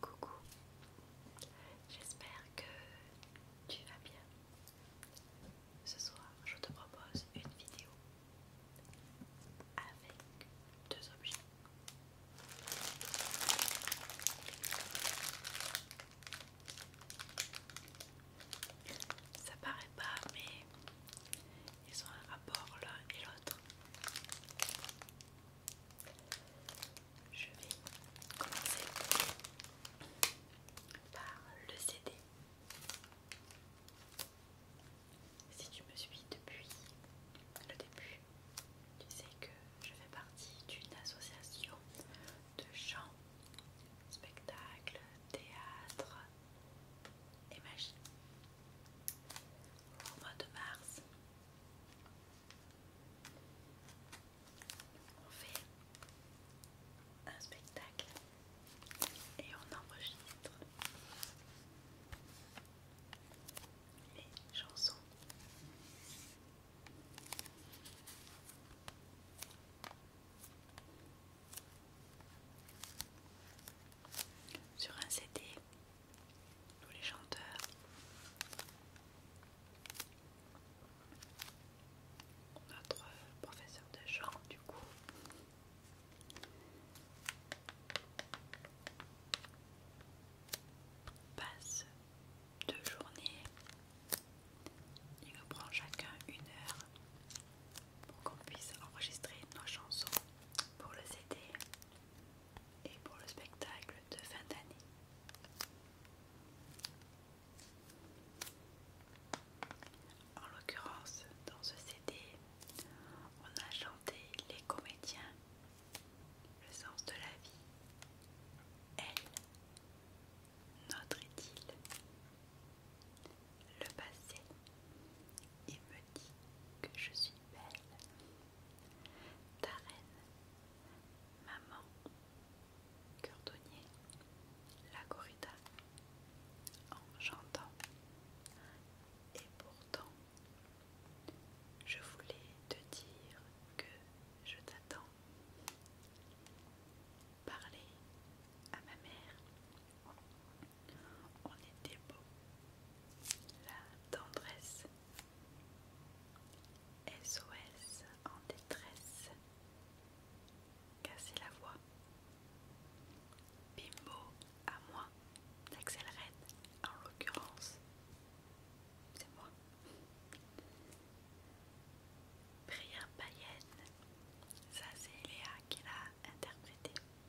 Coucou, j'espère que tu vas bien. Ce soir, je te propose une vidéo avec deux objets. Ça paraît pas, mais ils ont un rapport l'un et l'autre. Je vais commencer par le CD. Si tu me suis depuis le début, tu sais que je fais partie d'une association de chants, spectacles, théâtre, et mois de mars, on fait un spectacle et on enregistre les chansons sur un CD, tous les chanteurs. Notre professeur de chant, du coup. Passe deux journées. Il nous prend chacun une heure pour qu'on puisse enregistrer nos chansons pour le CD et pour le spectacle de fin d'année. En l'occurrence, dans ce CD, on a chanté Les comédiens, Le sens de la vie, Elle, Notre idylle, le passé et me dit que je suis belle. Ta reine, maman, cordonnier, la En j'entends Et pourtant, je voulais te dire que je t'attends. Parler à ma mère on était beau. La tendresse. SOS en détresse. Casser la voix. Bimbo à moi. Red en l'occurrence. C'est moi. Prière païenne. Ça c'est Léa qui l'a interprété.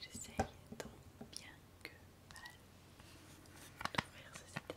J'essaye tant bien que mal d'ouvrir cette. tête.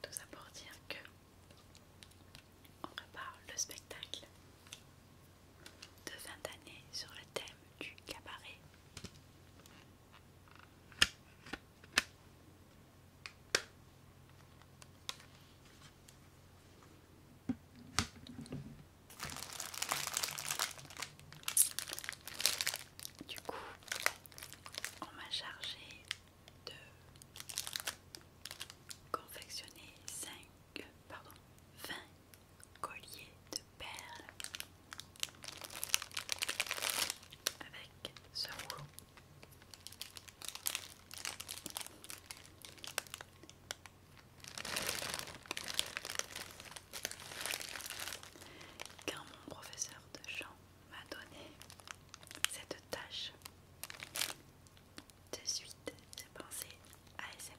tout ça pour dire que on prépare le spectacle de vingt années sur le thème du cabaret. Du coup, on m'a chargé de confectionner 5, pardon, 20 collier de perles avec ce rouleau. Car mon professeur de chant m'a donné cette tâche de suite j'ai pensé à ASMR.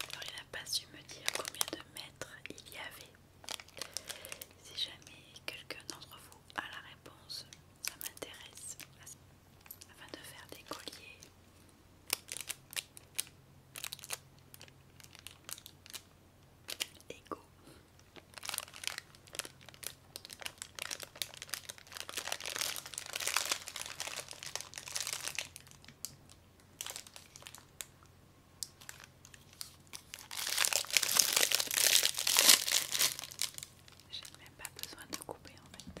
Alors il n'a pas su me dire combien de mètres il y avait. Si jamais quelqu'un d'entre vous a la réponse, ça m'intéresse afin de faire des colliers. Et go J'ai même pas besoin de couper en fait.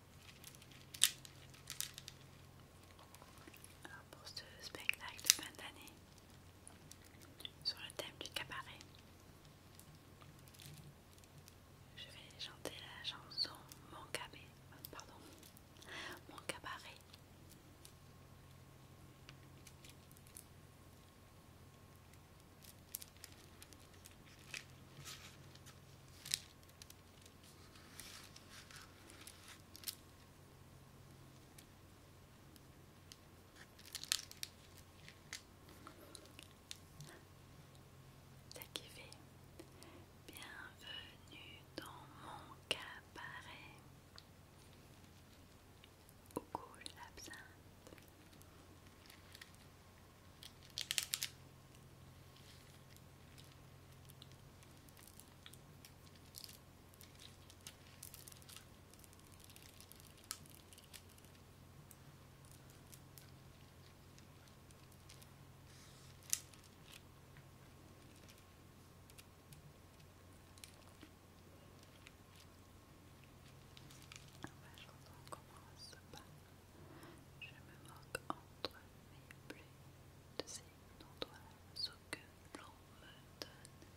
Alors pour ce spectacle de fin d'année sur le thème du cabaret, je vais chanter la chanson Mon cabaret, pardon, Mon cabaret. Takivé, bienvenue dans mon cabaret goût de l'absinthe on commence pas. Je me moque entre mes plaies de ces toi, ce que l'on me donne.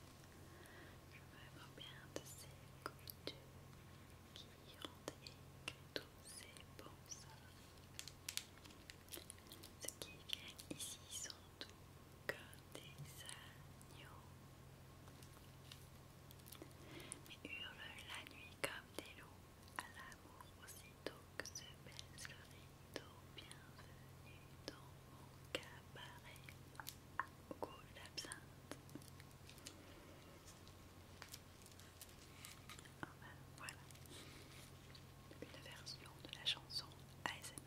Je me bien de ces coutumes qui rendent que tous ces bons Ceux qui viennent ici sont tout que des agneaux. Mais hurlent la nuit comme des loups à l'amour aussitôt que se baisse le rideau, bienvenue dans mon cabaret, goût l'absinthe. voilà, une version de la chanson ASMR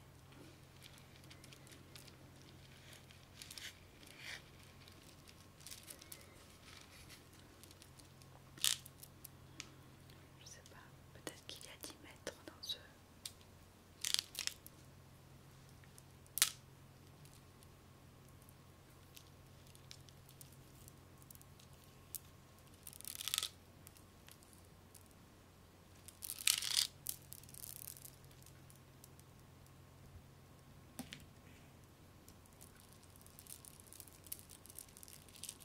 je sais pas, peut-être qu'il y a 10 mètres dans ce...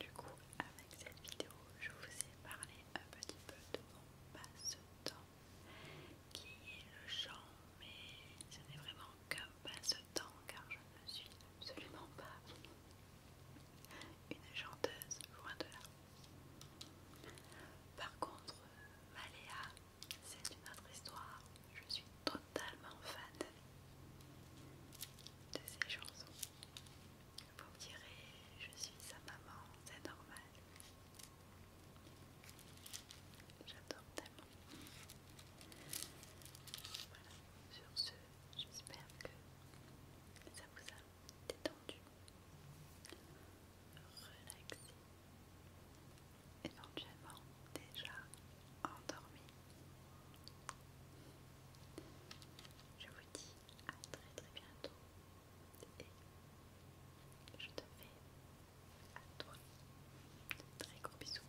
du coup, avec cette vidéo, je vous ai parlé un petit peu de mon passe-temps qui est le chant, mais ce n'est vraiment qu'un passe-temps car je ne suis absolument pas une chanteuse, loin de là. Par contre, Maléa c'est une autre histoire. Je suis totalement fan de ces chansons. Vous me direz, je suis sa maman, c'est normal. J'adore tellement. Voilà, sur ce, j'espère que ça vous a détendu, relaxé éventuellement déjà endormi. Je vous dis à très très bientôt et je te fais à toi de très gros bisous.